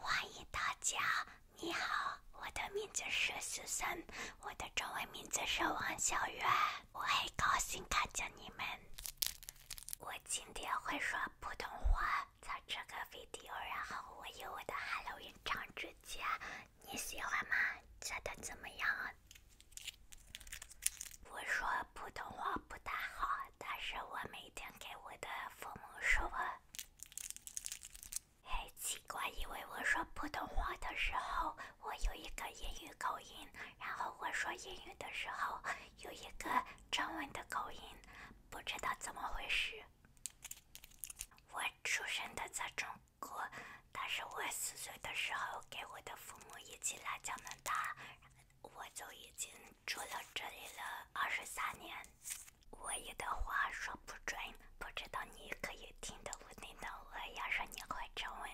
欢迎大家，你好，我的名字是苏珊，我的中文名字是王小月，我很高兴看见你们。我今天会说普通话，在这个 video 然后我有我的 Hello y 唱 n 家，你喜欢吗？觉得怎么样？我说普通话不大好。但是我每天给我的父母说我很奇怪，因为我说普通话的时候我有一个英语口音，然后我说英语的时候有一个中文的口音，不知道怎么回事。我出生的在中国，但是我四岁的时候给我的父母一起来加拿大，我就已经。住了这里了二十三年，我有的话说不准，不知道你可以听得懂不懂。我要说你会中文。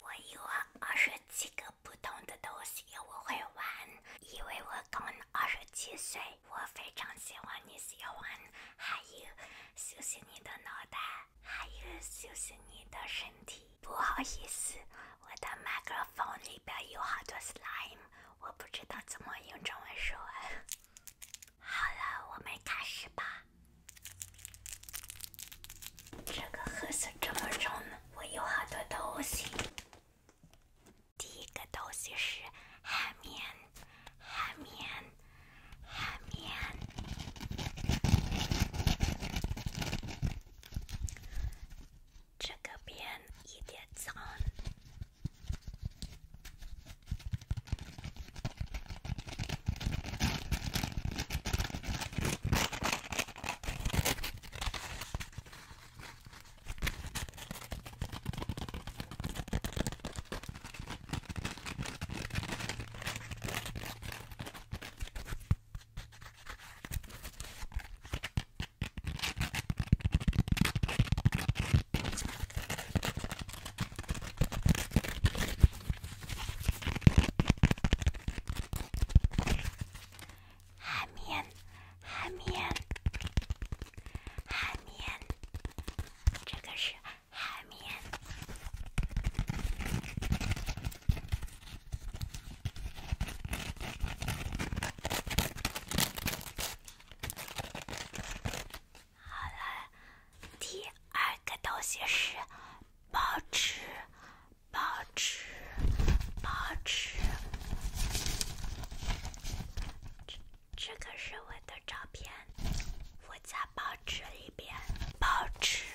我有二十七个不同的东西我会玩，因为我刚二十七岁。我非常喜欢你喜欢，还有休息你的脑袋，还有休息你的身体。不好意思，我的麦克风里边有好多 slime，我不知道怎么用中文说。好了，我们开始吧。这个盒子这么重，我有好多东西。第一个东西是海绵，海绵，海绵。这个边一点长。海绵，海绵，海绵，这个是海绵。好了，第二个东西是报纸，报纸，报纸。这个是我的照片，我在报纸里边报纸。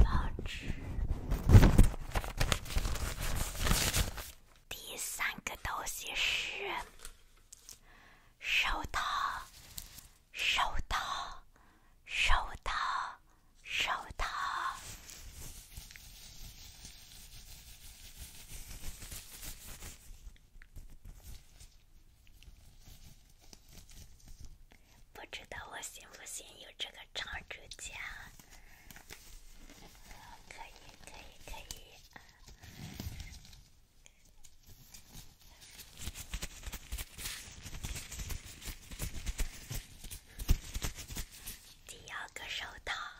报纸，第三个东西是手套，手套，手套，手套。不知道我信不信有这个长指甲？可以，可以，可以。第二个手套。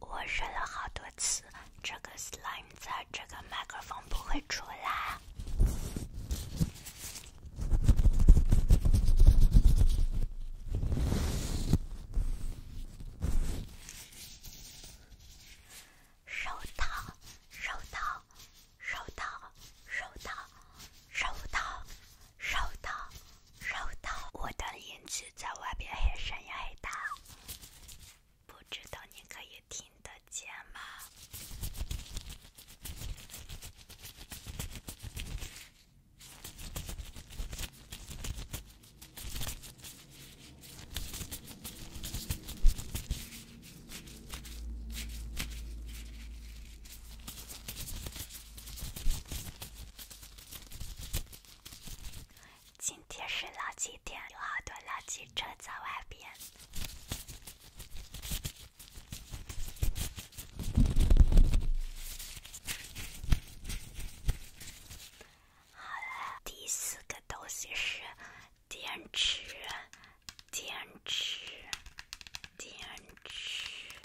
我忍了好多次，这个 slime 在这个麦克风不会出来。收到，收到，收到，收到，收到。收到，收到。我的音质在外边喊声很大，不知道你可以听得见吗？今天是垃圾天，有好多垃圾车在外边。好了，第四个东西是电池，电池，电池。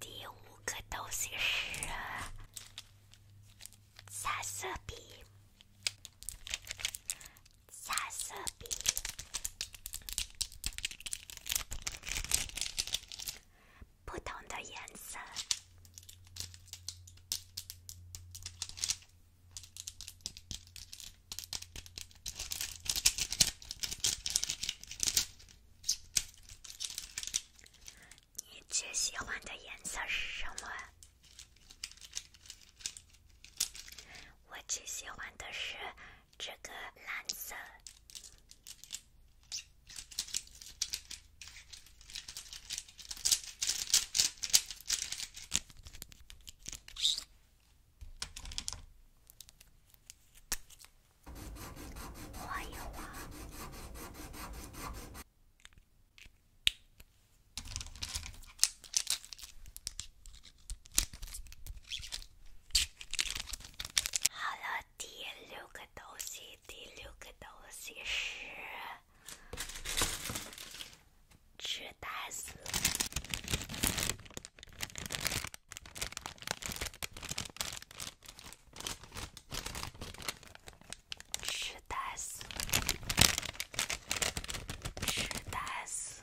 第五个东西是三色笔，三色笔。不同的颜色，你最喜欢的颜色是什么？我最喜欢的是。这个蓝色，好了。第六个东西，第六个东西是吃蛋丝，吃蛋丝，吃蛋丝。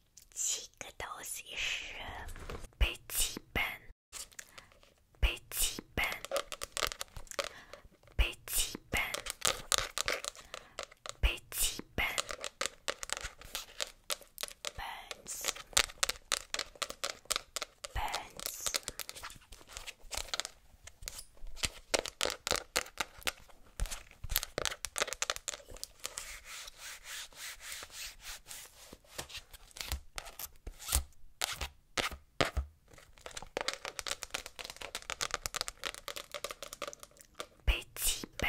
七个东西是笔记本，笔记本，笔记本，笔记本，本子，本子。笔记本，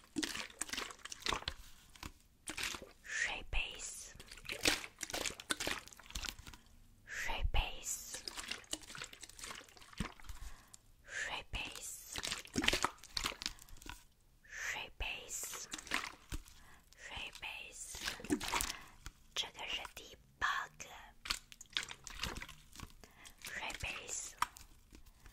水杯丝，水杯丝，水杯丝，水杯丝，水杯丝，这个是第八个水杯丝。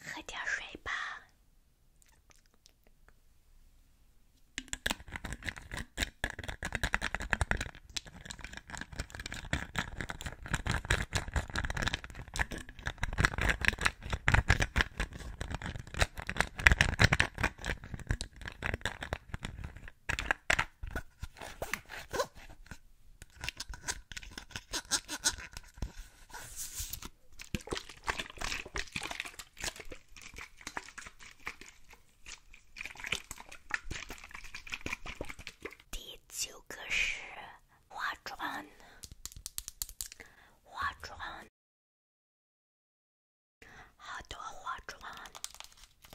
喝点水吧。第九个是化妆，化妆，好多化妆。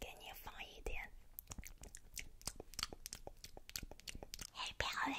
给你放一点，很漂亮。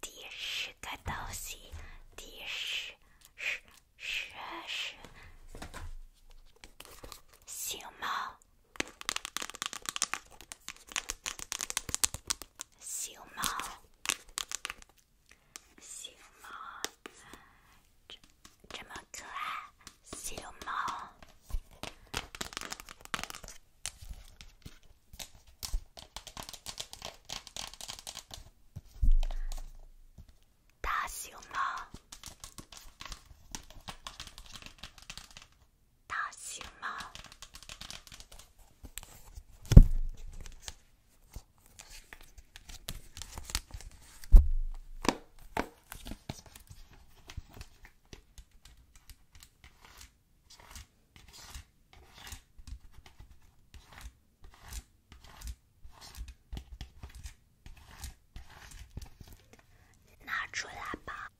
第十个东西，第十十十十，小猫，小猫，小猫，这这么可爱，小猫。他醒了，他醒了，拿出来吧，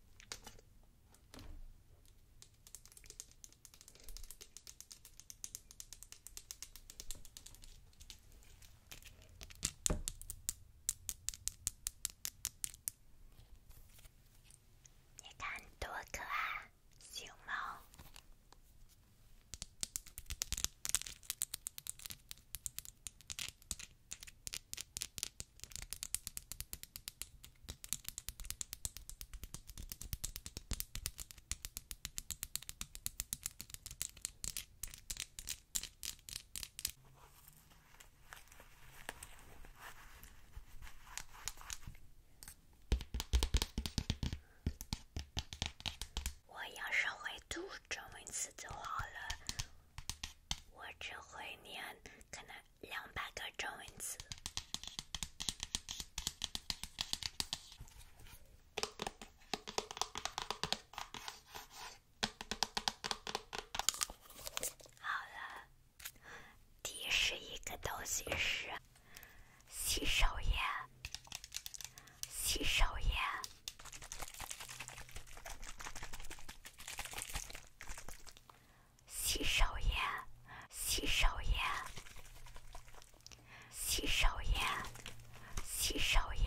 你看多可爱。行吗？我要是会读中文词就好了。我只会念可能两百个中文词。好了，第十一个东西是。洗手液，洗手液，洗手液，洗手液，洗手液，洗手液，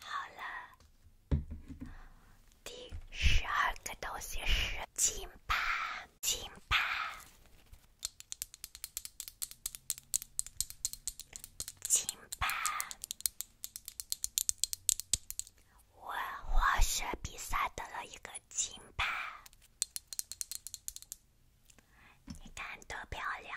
好了，第十二个东西是金牌，金牌，金牌。我滑雪比赛得了一个金牌，你看多漂亮？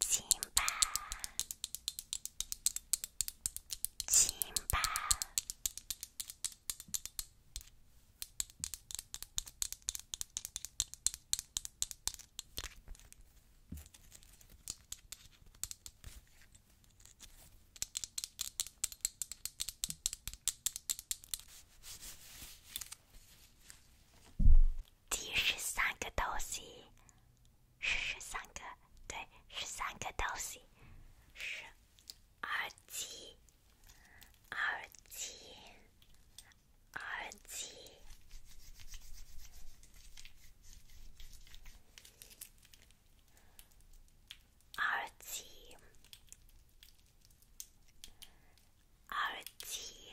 金巴，金巴，第十三个东西。是十三个，对，十三个东西，是，耳机，耳机，耳机，耳机。耳机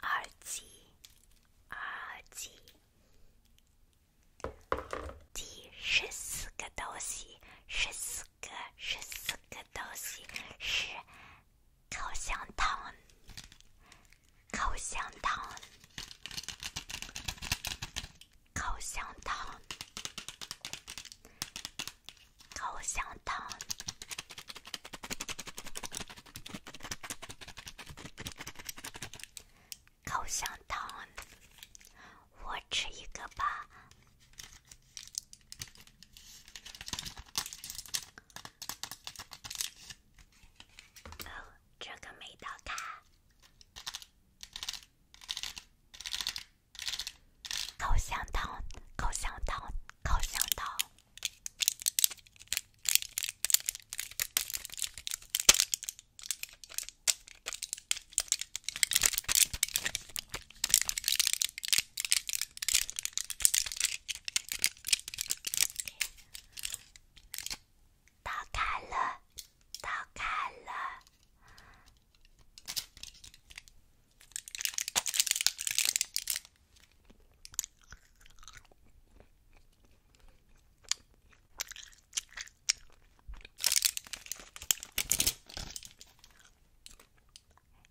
二七二七，第十四个东西，十四个，十四个东西是口香糖，口香糖。口香糖，口香糖，口香糖，我吃一个吧。哦，这个没打开。口香糖，口香糖，口香糖，打开了。打开了，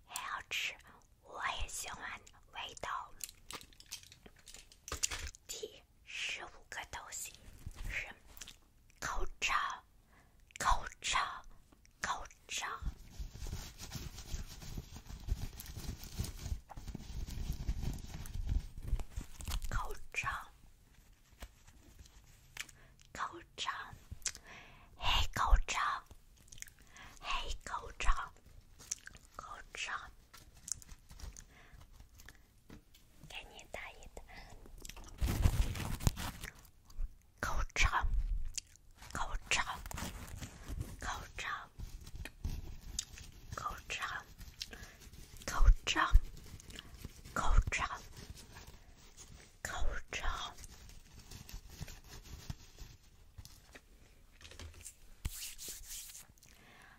很好吃，我也喜欢味道，甜。十五个都行，口罩，口罩，口罩，口罩，口罩，黑口罩，黑口罩，口罩。给你打一打，口罩，口罩，口罩，口罩，口罩，口罩，口罩。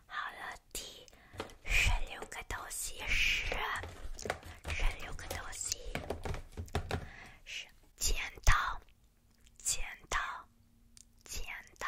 好了。第十六个东西是，十六个东西是剪刀，剪刀，剪刀。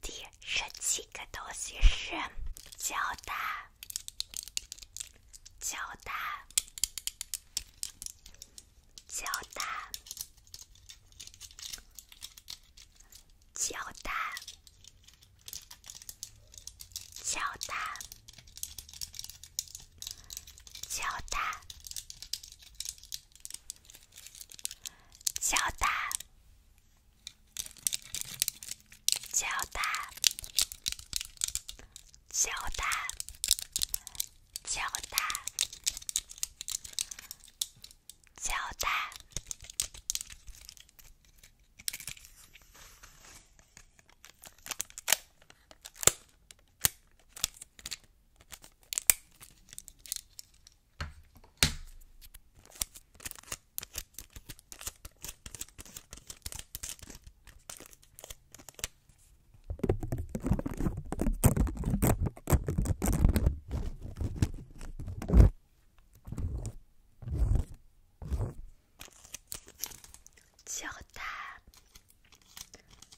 第十七个东西是胶带，胶带，胶带，胶带，胶带。胶带，胶带，胶带，胶带，胶带，胶带。鸡蛋。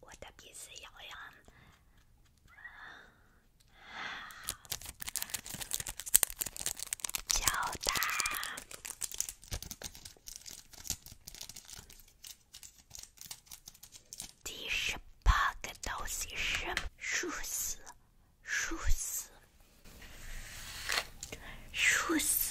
我的鼻子痒痒，脚的第十八个东西是梳子，梳子，梳子。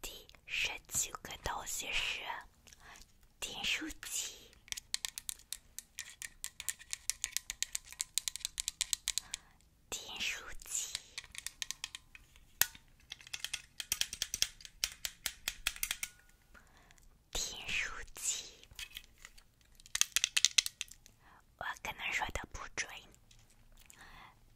第十九个东西是订书机，订书机，订书机。我可能说的不准。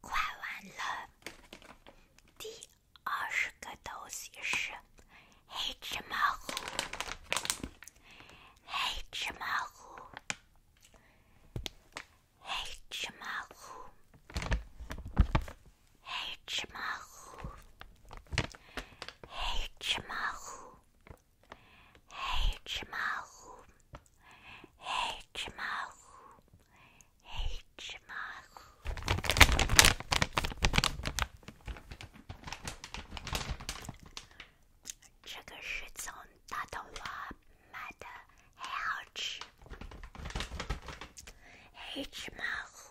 快完了，第二十个东西是黑芝麻糊，黑芝麻糊，黑芝麻糊，黑芝麻糊，黑芝麻糊，黑芝麻糊，黑芝麻糊。黑芝麻糊，这个是从大东华买的，很好吃。黑芝麻糊。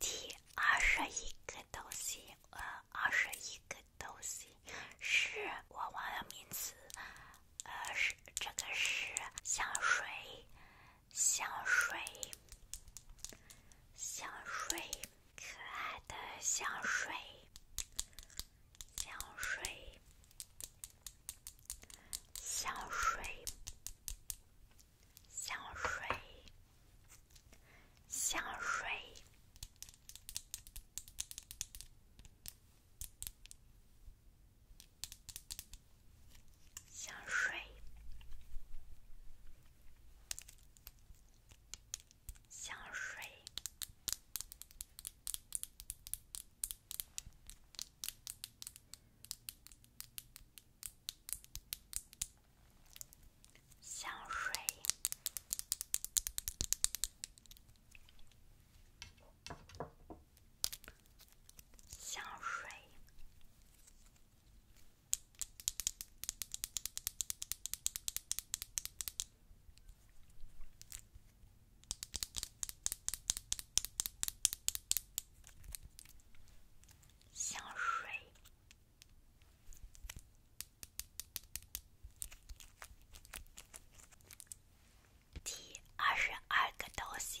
第二十一个东西，呃，二十一个东西是我忘了名词，呃，是这个是香水，香水，香水，可爱的香水。香水，香水，香水，香水，香水，香水。香水，香水。香水。第二十二个东西，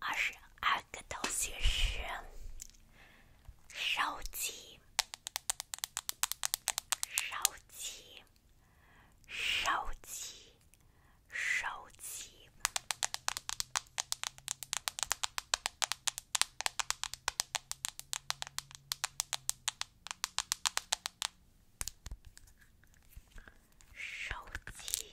二十二个东西是手机，手机。手机，手机，手机。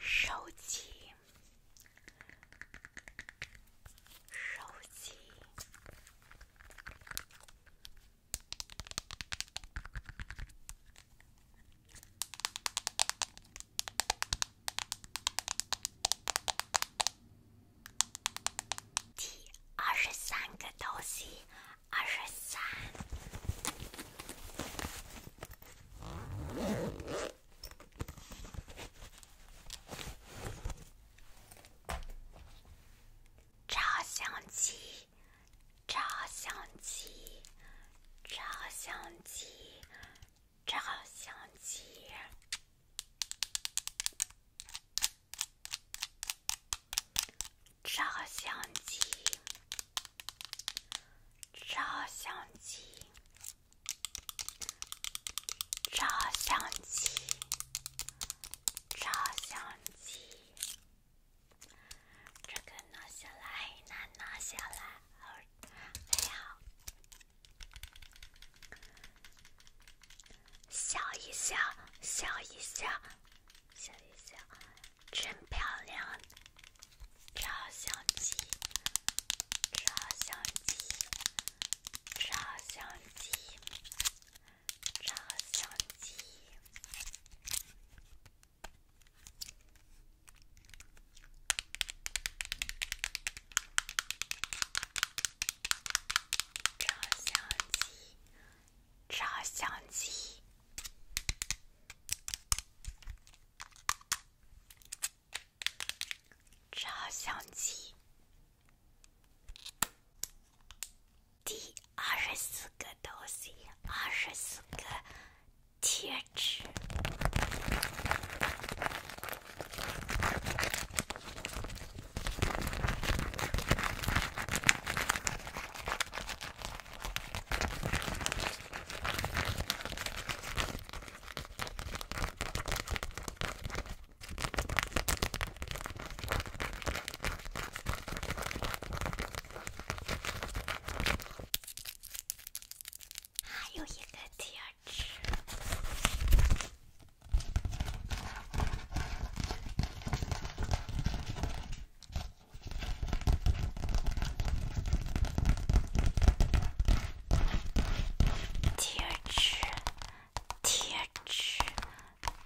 手机，手机。第二十三个东西，二十三。照相机，照相机，照相机。照相机，照相机，照相机，照相机，照相机。这个拿下来，难拿下来，哎呀。笑一笑，笑一笑，笑一笑，真漂亮！照相机，照相机，照相机，照相机。照相机，照相机，照相机。第二十四个东西，二十四个。贴纸，还有一个贴。贴纸，贴纸，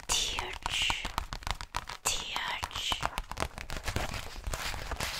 贴纸，贴纸。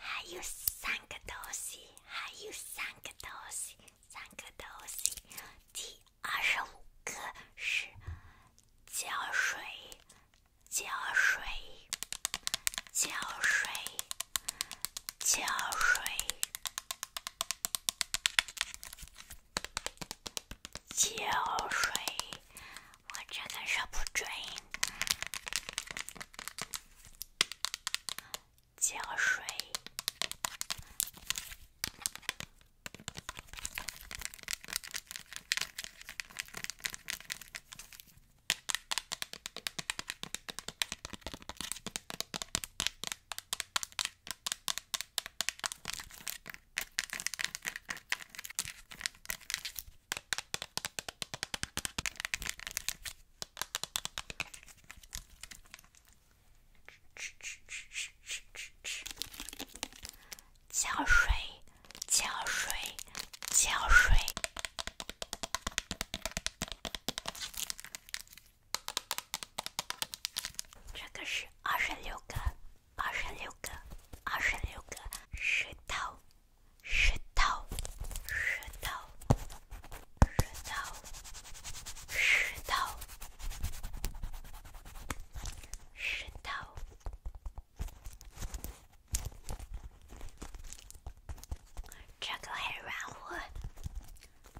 害羞三个多西，害羞三个多西，三个多西。第二十五个是浇水，浇水，浇水，浇水。浇水，我这个说不准。浇水。浇水，浇水，浇水。这个是二十六个，二十六个，二十六个石头，石头，石头，石头，石头，石头。这个很软和，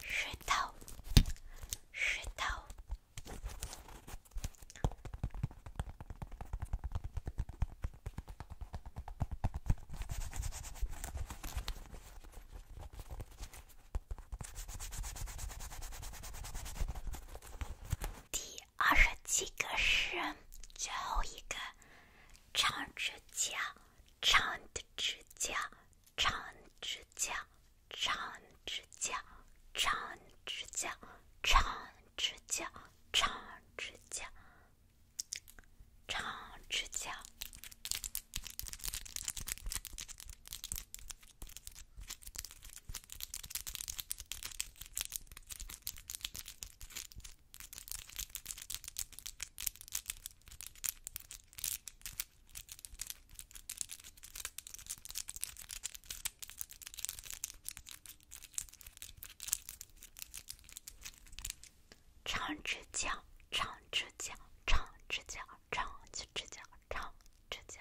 石头，石头。第二十七个是最后一个，长指甲，长的指甲。长指甲，长指甲，长指甲，长指甲，长指甲。长直角。长指甲长指甲长指甲长指甲长指甲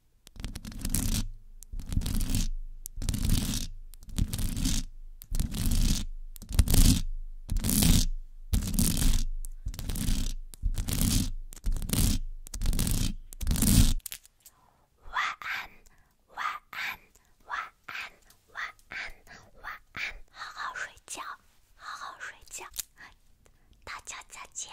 晚安，晚安，晚安，晚安，晚安，好好睡觉，好好睡觉，大家再见。